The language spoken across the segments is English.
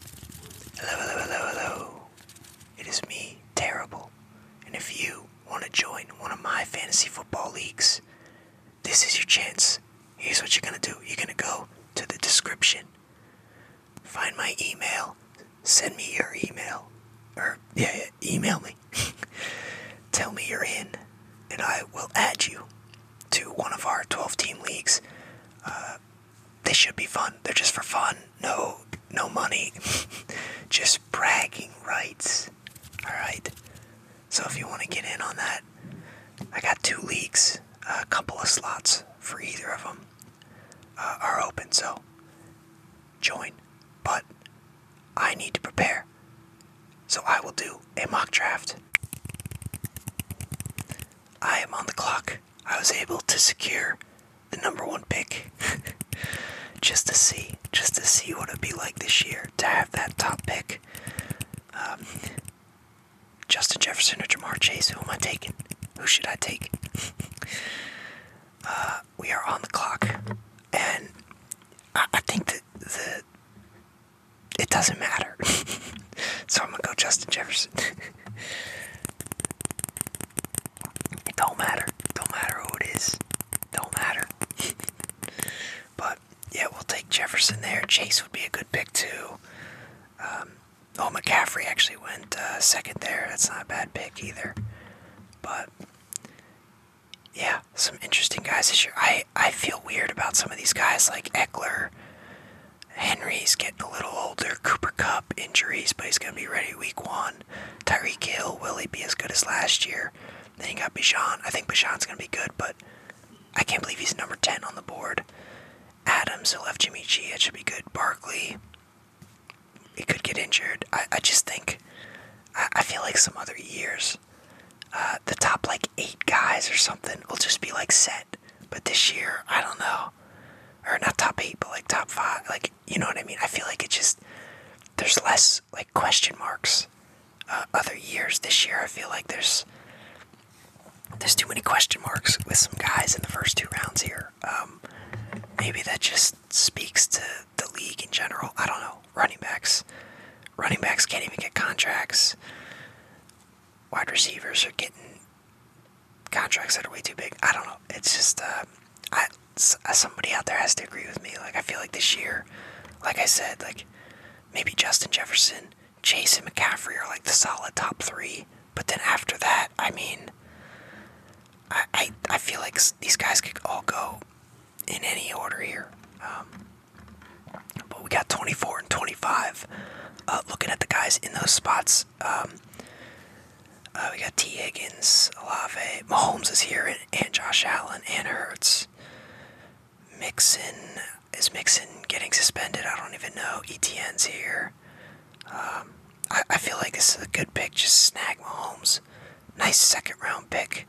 Hello, hello, hello, hello. It is me, Terrible. And if you want to join one of my fantasy football leagues, this is your chance. Here's what you're going to do you're going to go to the description, find my email, send me your email, or yeah, email me. Tell me you're in, and I will add you to one of our 12 team leagues. Uh, they should be fun. They're just for fun. No, no money. just bragging rights. All right. So if you want to get in on that, I got two leagues. A couple of slots for either of them uh, are open. So join. But I need to prepare. So I will do a mock draft. I am on the clock. I was able to secure the number one pick just to see, just to see what it'd be like this year to have that top pick. Um, Justin Jefferson or Jamar Chase, who am I taking? Who should I take? Uh, we are on the clock, and I, think that the it doesn't matter. so I'm gonna go Justin Jefferson. it don't matter. Don't matter who it is. Don't matter. but yeah, we'll take Jefferson there. Chase would be a good pick too. Um, oh, McCaffrey actually went uh, second there. That's not a bad pick either. But yeah, some interesting guys this year. I I feel weird about some of these guys like Eckler. Henry's getting a little older. Cooper Cup injuries, but he's going to be ready week one. Tyree Hill, will he be as good as last year? Then you got Bishan. I think Bishan's going to be good, but I can't believe he's number 10 on the board. Adams, who left Jimmy G, It should be good. Barkley, he could get injured. I, I just think, I, I feel like some other years, uh, the top like eight guys or something will just be like set. But this year, I don't know. Or not top eight, but like top five. Like, you know what I mean? I feel like it just, there's less like question marks. Uh, other years this year, I feel like there's there's too many question marks with some guys in the first two rounds here. Um, maybe that just speaks to the league in general. I don't know. Running backs, running backs can't even get contracts. Wide receivers are getting contracts that are way too big. I don't know. It's just uh, I uh, somebody out there has to agree with me. Like I feel like this year, like I said, like maybe Justin Jefferson, Jason McCaffrey are like the solid top three. But then after that, I mean, I I, feel like these guys could all go in any order here. Um, but we got 24 and 25. Uh, looking at the guys in those spots, um, uh, we got T. Higgins, Alave, Mahomes is here, and, Josh Allen and Hurts. Mixon is Mixon getting suspended? I don't even know. ETN's here. Um, I, I feel like this is a good pick. Just snag Mahomes. Nice second round pick.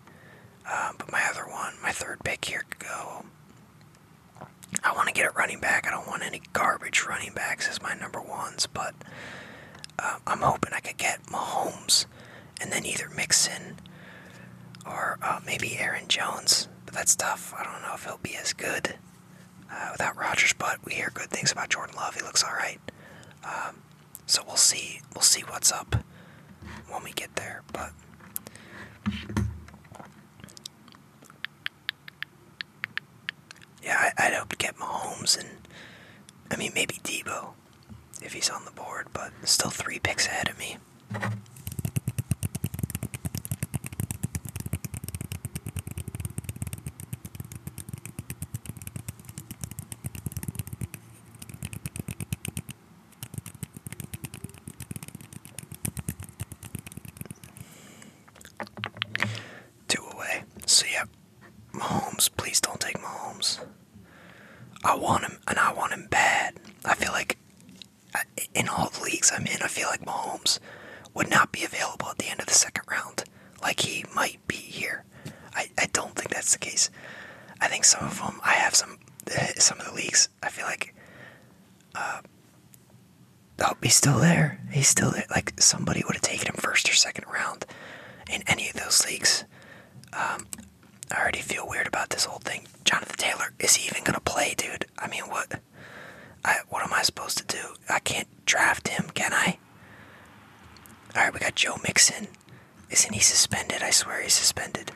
Um, but my other one, my third pick here could go. I want to get a running back. I don't want any garbage running backs is my number ones, but uh, I'm hoping I could get Mahomes and then either Mixon or uh, maybe Aaron Jones. But that's tough. I don't know if he'll be as good uh, without Rodgers, but we hear good things about Jordan Love. He looks all right. Um, so we'll see. We'll see what's up when we get there. But yeah, I, would hope to get Mahomes and I mean maybe Debo if he's on the board, but still three picks ahead of me. Two away. So yeah, Mahomes, please don't take Mahomes. I want him, and I want him bad. I feel like in all the leagues I'm in, I feel like Mahomes would not be available at the end of the second round. Like he might be here. I, I don't think that's the case. I think some of them, I have some, some of the leagues, I feel like uh, Oh, he's still there. He's still there. Like somebody would have taken him first or second round in any of those leagues. Um, I already feel weird about this whole thing. Jonathan Taylor, is he even gonna play, dude? I mean, what? what am I supposed to do? I can't draft him, can I? All right, we got Joe Mixon. Isn't he suspended? I swear he's suspended.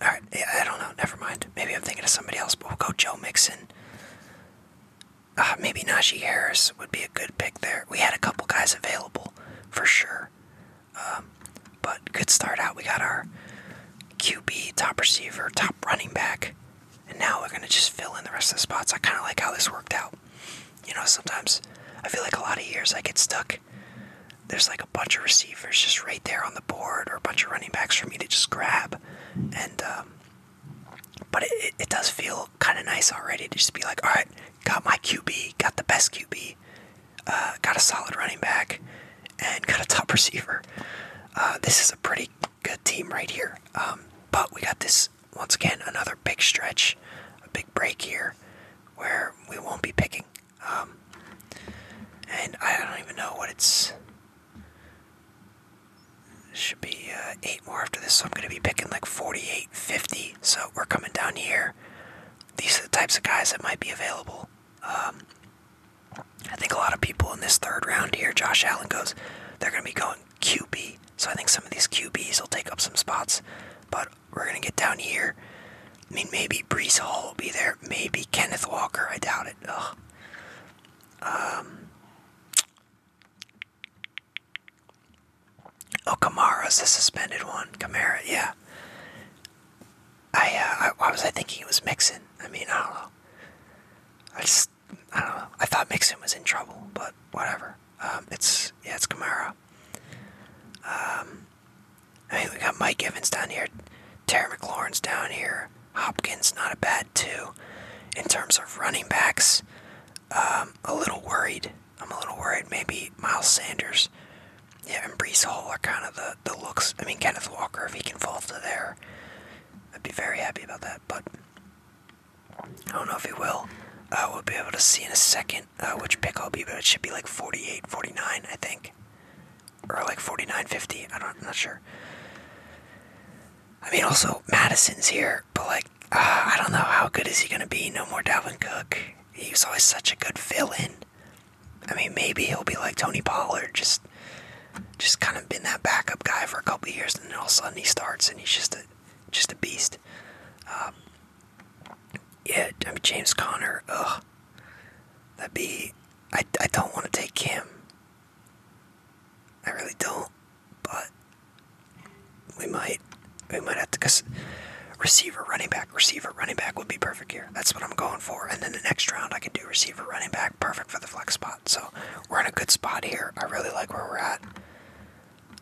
Alright, I don't know, never mind. Maybe I'm thinking of somebody else, but we'll go Joe Mixon. Uh, maybe Najee Harris would be a good pick there. We had a couple guys available, for sure. Um, but good start out. We got our QB, top receiver, top running back. And now we're going to just fill in the rest of the spots. I kind of like how this worked out. You know, sometimes I feel like a lot of years I get stuck there's like a bunch of receivers just right there on the board or a bunch of running backs for me to just grab and um, but it, does feel kind of nice already to just be like all right got my qb got the best qb uh, got a solid running back and got a top receiver uh, this is a pretty good team right here um, but we got this once again another big stretch a big break here where we won't be picking um, and I don't even know what it's. Should be uh, eight more after this, so I'm going to be picking like 48, 50. So we're coming down here. These are the types of guys that might be available. Um, I think a lot of people in this third round here, Josh Allen goes, they're going to be going QB. So I think some of these QBs will take up some spots. But we're going to get down here I mean, maybe Brees Hall will be there. Maybe Kenneth Walker. I doubt it. Ugh. Um. Oh, Kamara's the suspended one. Kamara, yeah. I, uh, I, why was I thinking it was Mixon? I mean, I don't know. I just, I don't know. I thought Mixon was in trouble, but whatever. Um, it's, yeah, it's Kamara. Um, I mean, we got Mike Evans down here, Terry McLaurin's down here, Hopkins not a bad two. In terms of running backs, um, a little worried. I'm a little worried. Maybe Miles Sanders, yeah, and Brees Hall are kind of the the looks. I mean, Kenneth Walker, if he can fall to there, I'd be very happy about that. But I don't know if he will. I uh, will be able to see in a second uh, which pick I'll be, but it should be like 48, 49, I think or like 49.50. I don't, I'm not sure. I mean, also Madison's here, but like uh, I don't know how good is he gonna be. No more Dalvin Cook. He was always such a good fill-in. I mean, maybe he'll be like Tony Pollard, just just kind of been that backup guy for a couple years, and then all of a sudden he starts and he's just a just a beast. Um, yeah, I mean James Conner. Ugh, that'd be I, I don't want to take him. I really don't, but we might we might have to cause receiver running back receiver running back would be perfect here. That's what I'm going for. And then the next round I can do receiver running back perfect for the flex spot. So we're in a good spot here. I really like where we're at.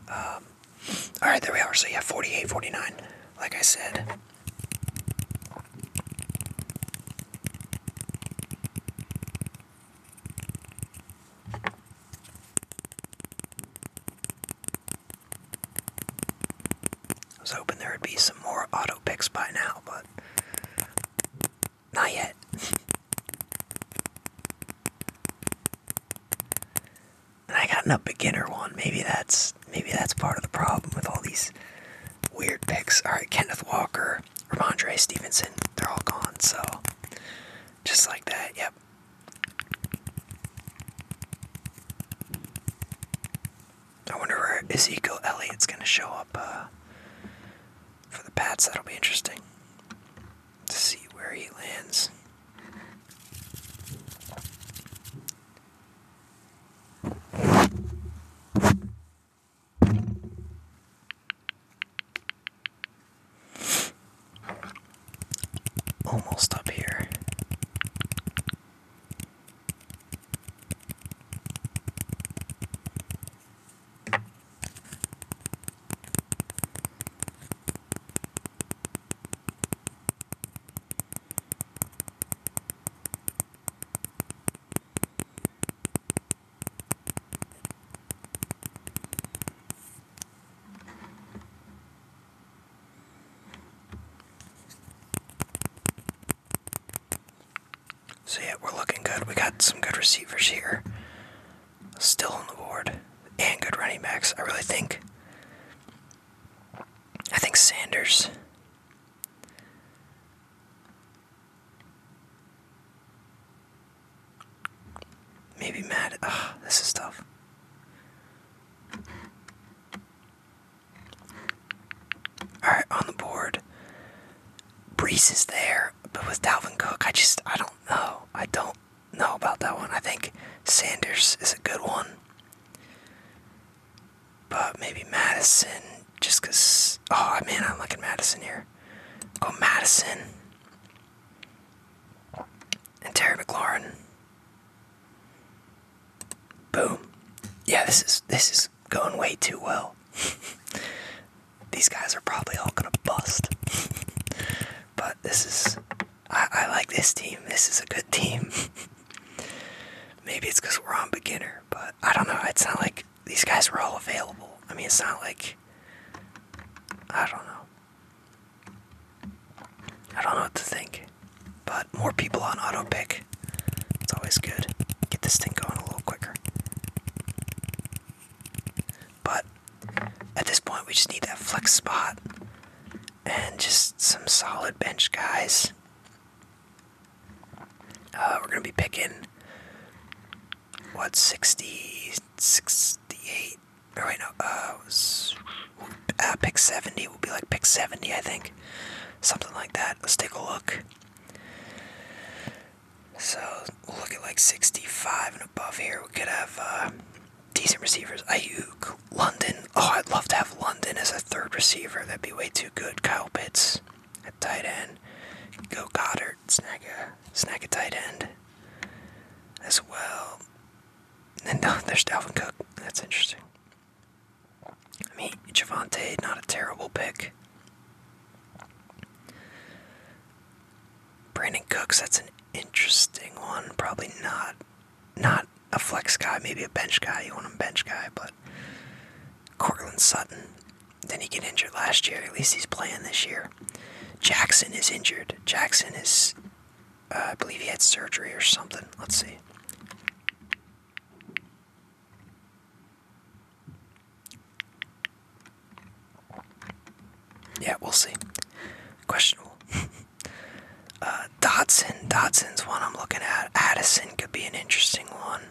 Um, all right, there we are. So yeah, 48, 49. Like I said, I was hoping there would be some more auto picks by now, but not yet. I got a beginner one. Maybe that's maybe that's part of the problem with all these Weird picks. Alright, Kenneth Walker, Ramondre Stevenson, they're all gone, so just like that, yep. I wonder where Ezekiel Elliott's gonna show up uh, for the Pats. That'll be interesting to see where he lands. Almost up here. See it? we're looking good. We got some good receivers here. Still on the board. And good running backs. I really think I think Sanders Maybe mad. Ugh, this is tough. Alright, on the board. Brees is there, but with Dalvin Cook, I just, I don't know. I don't know about that one. I think Sanders is a good one. But maybe Madison, just because. Oh, man, I'm liking Madison here. Go Madison. And Terry McLaurin. Boom. Yeah, this is this is going way too well. These guys are probably all gonna bust. but this is I, I like this team. This is a good team. Maybe it's because we're on beginner but I don't know. It's not like these guys were all available. I mean, it's not like. I don't know. I don't know what to think. But more people on auto pick. It's always good. Get this thing going a little quicker. But at this point, we just need that flex spot and just some solid bench guys. Uh, we're gonna be picking what 60, 68, or uh, uh, pick 70 will be like pick 70, I think, something like that. Let's take a look. So we'll look at like 65 and above here. We could have uh, decent receivers. Ayuk, London. Oh, I'd love to have London as a third receiver. That'd be way too good. Kyle Pitts at tight end. Go Goddard, snag a snag a tight end as well. And no, there's Dalvin Cook. That's interesting. I mean, Javante, not a terrible pick. Brandon Cooks, that's an interesting one. Probably not, not a flex guy, maybe a bench guy. You want a bench guy, but Courtland Sutton. Then he get injured last year. At least he's playing this year. Jackson is injured. Jackson is, uh, I believe he had surgery or something. Let's see. Yeah, we'll see. Questionable. Uh, Dotson. Dotson's one I'm looking at. Addison could be an interesting one.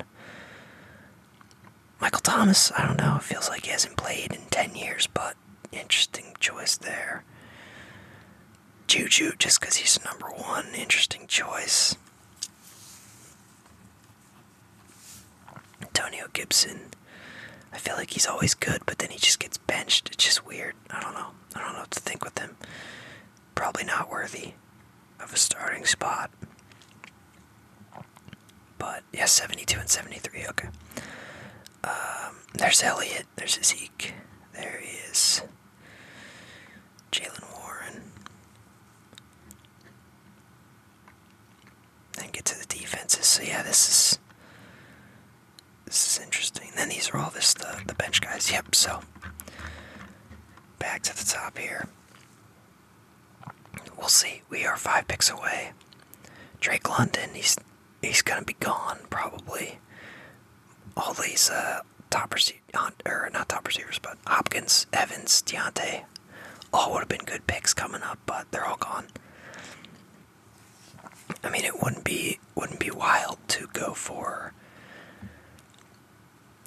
Michael Thomas, I don't know, it feels like he hasn't played in 10 years, but interesting choice there. Juju, just because he's number one, interesting choice. Antonio Gibson, I feel like he's always good, but then he just gets benched. It's just weird. I don't know. I don't know what to think with him probably not worthy of a starting spot. But yeah, 72 and 73. Okay. Um, there's Elliott. There's Zeke. There he is. Jalen Warren. Then get to the defenses. So yeah, this is this is interesting. Then these are all just the the bench guys. Yep. So back to the top here. We'll see. We are five picks away. Drake London, he's he's gonna be gone probably. All these uh, top receivers, not top receivers, but Hopkins, Evans, Deontay, all would have been good picks coming up, but they're all gone. I mean, it wouldn't be wouldn't be wild to go for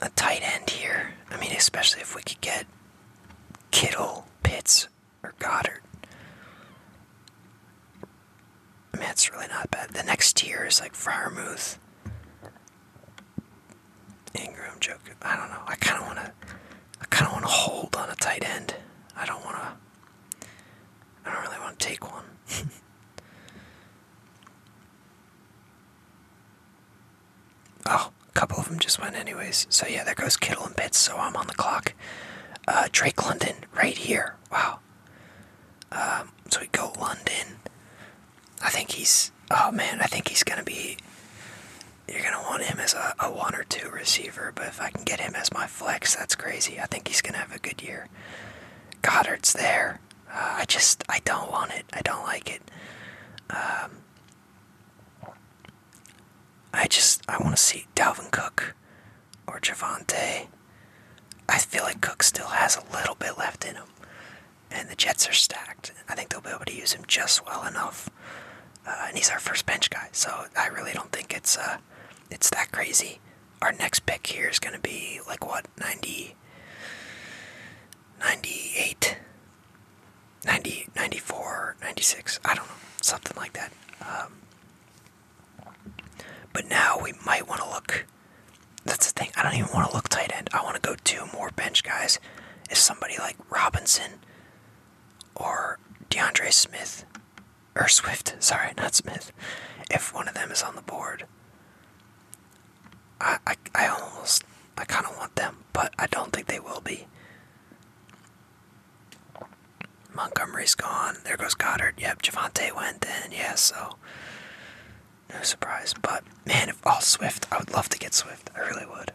a tight end here. I mean, especially if we could get Kittle, Pitts, or Goddard. I mean, that's really not bad. The next tier is like Friarmouth, Ingram, Joker. I don't know. I kind of want to. I kind of want to hold on a tight end. I don't want to. I don't really want to take one. Oh, a couple of them just went anyways. So yeah, there goes Kittle and Pitts. So I'm on the clock. Uh, Drake London right here. Wow. Um, so we go London. I think he's. Oh man, I think he's gonna be. You're gonna want him as a, one or two receiver, but if I can get him as my flex, that's crazy. I think he's gonna have a good year. Goddard's there. Uh, I just I don't want it. I don't like it. Um, I just I want to see Dalvin Cook or Javante. I feel like Cook still has a little bit left in him, and the Jets are stacked. I think they'll be able to use him just well enough, uh, and he's our first bench guy, so I really don't think it's uh it's that crazy. Our next pick here is going to be like what 90, 98 90, 94, 96, I don't know, something like that. Um, but now we might want to look. That's the thing, I don't even want to look tight end. I want to go two more bench guys. Is somebody like Robinson or DeAndre Smith or Swift? Sorry, not Smith. If one of them is on the board, I, I, almost, I kind of want them, but I don't think they will be. Montgomery's gone. There goes Goddard. Yep, Javante went in. Yeah, so no surprise. But man, if all Swift, I would love to get Swift. I really would.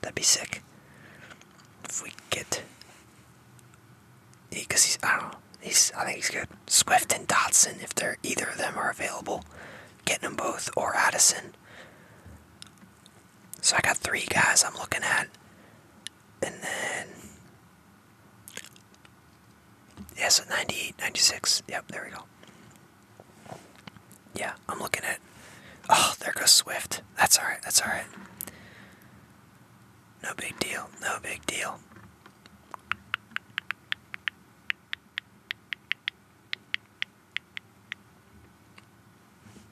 That'd be sick. If we get, because he's I don't He's I think he's good. Swift and Dotson, if either of them are available, getting them both or Addison. So I got three guys I'm looking at. And then. Yeah, so 98, 96. Yep, there we go. Yeah, I'm looking at. Oh, there goes Swift. That's alright, that's alright. No big deal, no big deal.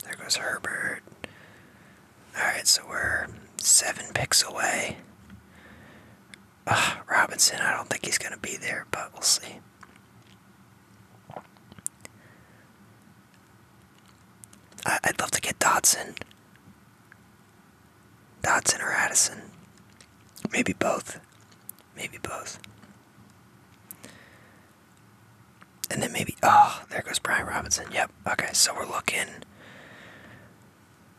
There goes Herbert. Alright, so we're seven picks away. Ah, Robinson, I don't think he's going to be there, but we'll see. I'd love to get Dodson. Dodson or Addison. Maybe both. Maybe both. And then maybe, oh, there goes Brian Robinson. Yep. Okay, so we're looking.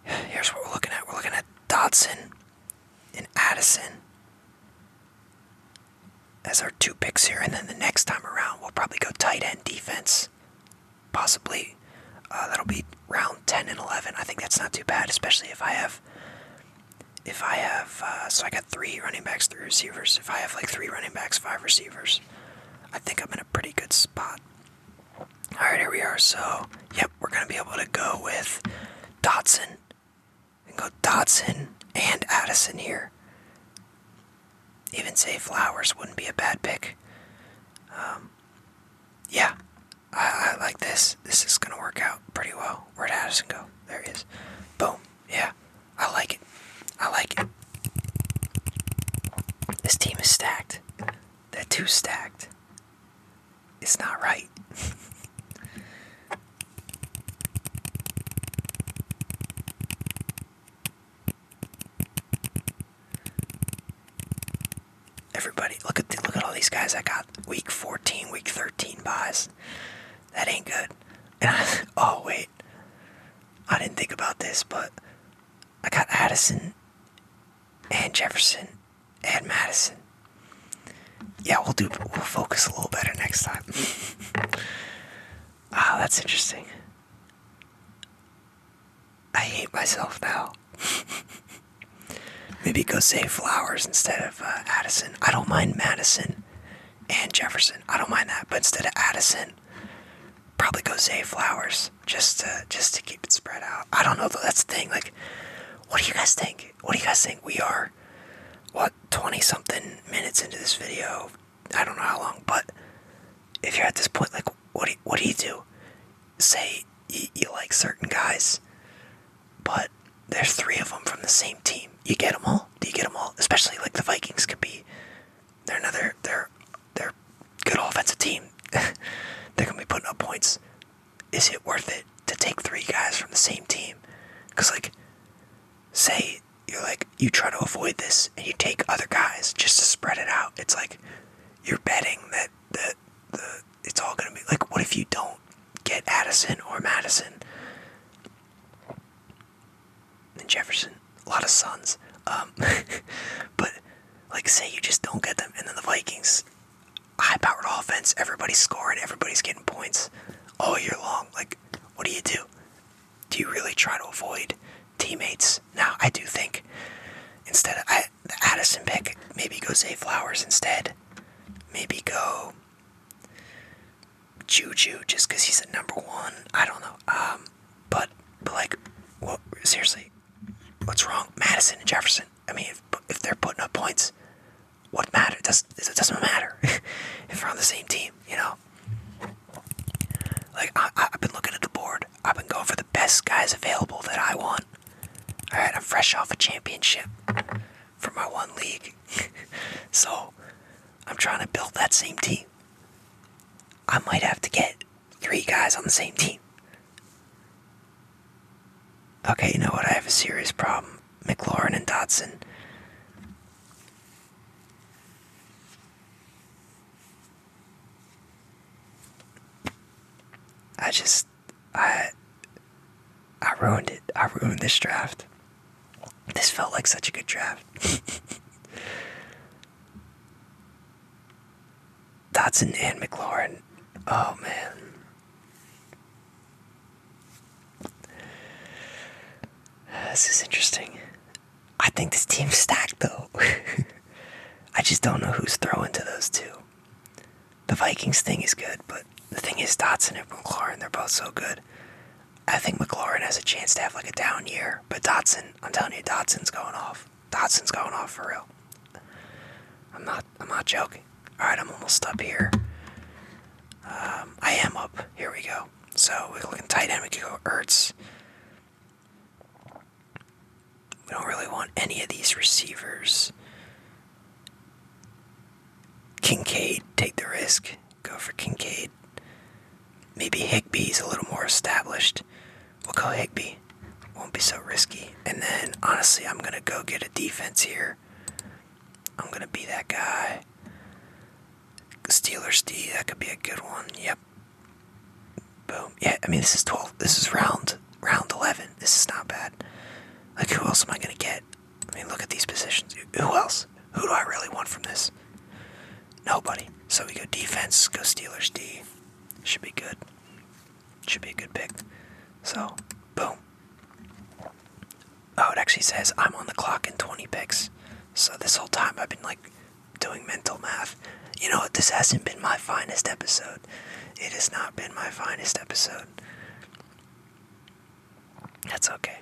Here's what we're looking at. We're looking at Dodson and Addison as our two picks here. And then the next time around, we'll probably go tight end defense. Possibly. Uh, that'll be round 10 and 11. I think that's not too bad, especially if I have if I have, uh, so I got three running backs, three receivers. If I have like three running backs, five receivers, I think I'm in a pretty good spot. All right, here we are. So, yep, we're going to be able to go with Dotson. And go Dotson and Addison here. Even say Flowers wouldn't be a bad pick. Um, yeah, I, I like this. This is going to work out pretty well. Where'd Addison go? There he is, Boom. Yeah. I like it. I like it. This team is stacked. They're too stacked. It's not right. Everybody, look at look at all these guys I got. Week 14, week 13 buys that ain't good. And I, oh wait, I didn't think about this, but I got Addison and Jefferson and Madison. Yeah, we'll do. We'll focus a little better next time. Ah, that's interesting. I hate myself now. Maybe go say flowers instead of uh, Addison. I don't mind Madison and Jefferson. I don't mind that, but instead of Addison, probably go Zay Flowers just to just to keep it spread out. I don't know though. That's the thing. Like, what do you guys think? What do you guys think? We are what twenty something minutes into this video. I don't know how long, but if you're at this point, like, what do you, what do you do? Say you like certain guys, but there's three of them from the same team. You get them all? Do you get them all? Especially like the Vikings could be. They're another. They're they're good offensive team. they're gonna be putting up points. Is it worth it to take three guys from the same team? Cause like, say you're like you try to avoid this and you take other guys just to spread it out. It's like you're betting that that the it's all gonna be like. What if you don't get Addison or Madison? and Jefferson, a lot of sons. Um, but like, say you just don't get them, and then the Vikings, high-powered offense, everybody's scoring, everybody's getting points all year long. Like, what do you do? Do you really try to avoid teammates? Now, I do think instead of the Addison pick, maybe go say Flowers instead. Maybe go. Juju just because he's a number one. I don't know. Um, but but like, what seriously? What's wrong? Madison and Jefferson. I mean, if if they're putting up points, what matter? does it doesn't matter if we're on the same team, you know? Like I, I've been looking at the board. I've been going for the best guys available that I want. All right, I'm fresh off a championship for my one league. so I'm trying to build that same team. I might have to get three guys on the same team. Okay, you know what? I have a serious problem. McLaurin and Dotson. I just I I ruined it. I ruined this draft. This felt like such a good draft. Dotson and McLaurin. Oh man. This is interesting. I think this team's stacked though. I just don't know who's throwing to those two. The Vikings thing is good, but the thing is Dotson and McLaurin, they're both so good. I think McLaurin has a chance to have like a down year, but Dotson, I'm telling you, Dotson's going off. Dotson's going off for real. I'm not, I'm not joking. All right, I'm almost up here. Um, I am up. Here we go. So we're looking tight end. We could go Ertz. We don't really want any of these receivers. Kincaid, take the risk. Go for Kincaid. Maybe Higby's a little more established. We'll go Higby. Won't be so risky. And then, honestly, I'm going to go get a defense here. I'm going to be that guy. Steelers D, that could be a good one. Yep. Boom. Yeah, I mean, this is 12. This is round round 11. This is not bad. Like, who else am I going to get? I mean, look at these positions. Who else? Who do I really want from this? Nobody. So we go defense, go Steelers D. Should be good. Should be a good pick. So, boom. Oh, it actually says I'm on the clock in 20 picks. So this whole time I've been like doing mental math. You know what? This hasn't been my finest episode. It has not been my finest episode. That's okay.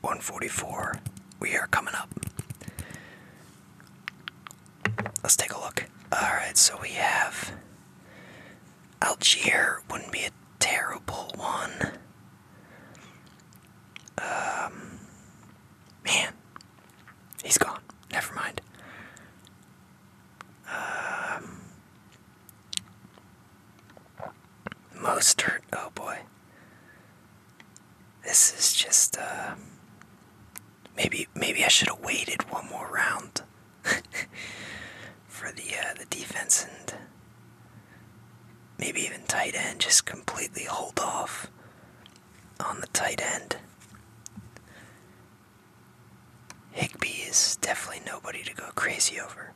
144. We are coming up. Let's take a look. Alright, so we have Algier wouldn't be a terrible one. Um Man. He's gone. Never mind. Um most hurt. oh boy. This is just uh maybe maybe I should have waited one more round for the uh, the defense and maybe even tight end just completely hold off on the tight end. Higbee is definitely nobody to go crazy over.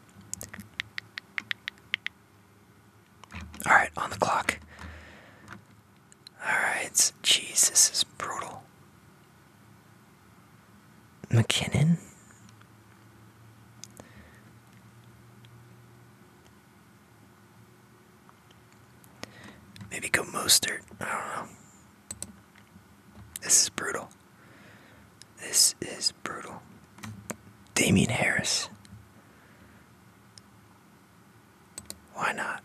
Alright, on the clock. Alright, Jesus, this is brutal. McKinnon? Maybe go Mostert. I don't know. This is brutal. This is brutal. Damien Harris. Why not?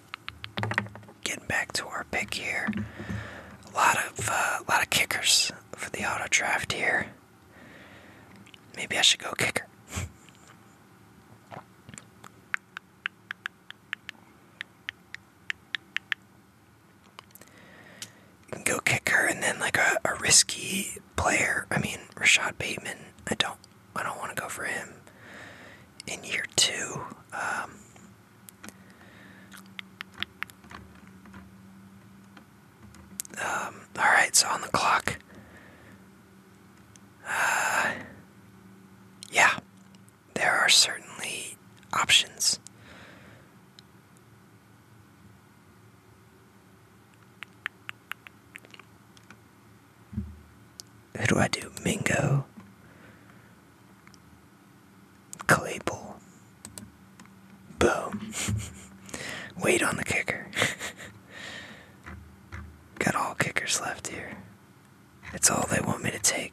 Getting back to our pick here. A lot of uh, a lot of kickers for the auto draft here. Maybe I should go kicker. go kicker and then like a risky player. I mean Rashad Bateman. I don't I don't want to go for him in year two. Um, um Alright, so on the clock. Uh, yeah, there are certainly options. Who do I do? Mingo. Claypool. Boom. Wait on the kicker. Got all kickers left here. It's all they want me to take.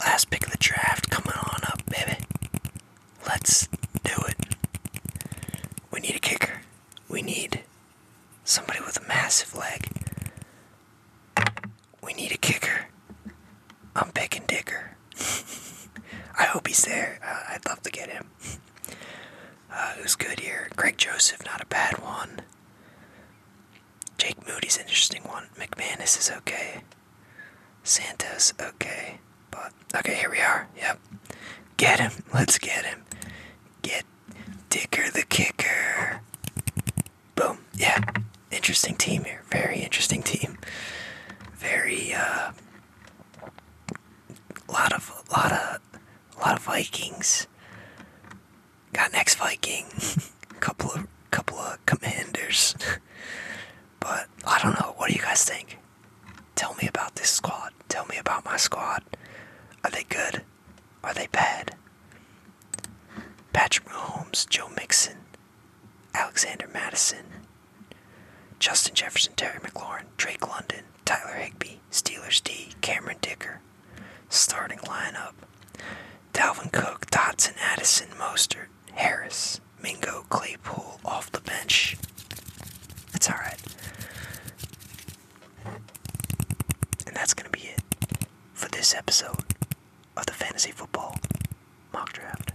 Last pick of the draft, coming on up, baby. Let's do it. We need a kicker. We need somebody with a massive leg. We need a kicker. I'm picking Digger. I hope he's there. Uh, I'd love to get him. Uh, who's good here? Greg Joseph, not a bad one. Jake Moody's an interesting one. McManus is okay. Santos, okay. But okay, here we are. Yep. Get him. Let's get him. Get Dicker the kicker. Boom. Yeah. Interesting team here. Very interesting team. Very uh lot of lot of lot of Vikings. Got next Viking. couple of couple of commanders. but I don't know. What do you guys think? Tell me about this squad. Tell me about my squad. Are they good? Are they bad? Patrick Mahomes, Joe Mixon, Alexander Madison, Justin Jefferson, Terry McLaurin, Drake London, Tyler Higby, Steelers D, Cameron Dicker. Starting lineup Dalvin Cook, Dotson, Addison, Mostert, Harris, Mingo, Claypool off the bench. That's alright. And that's going to be it for this episode of the Fantasy Football Mock Draft.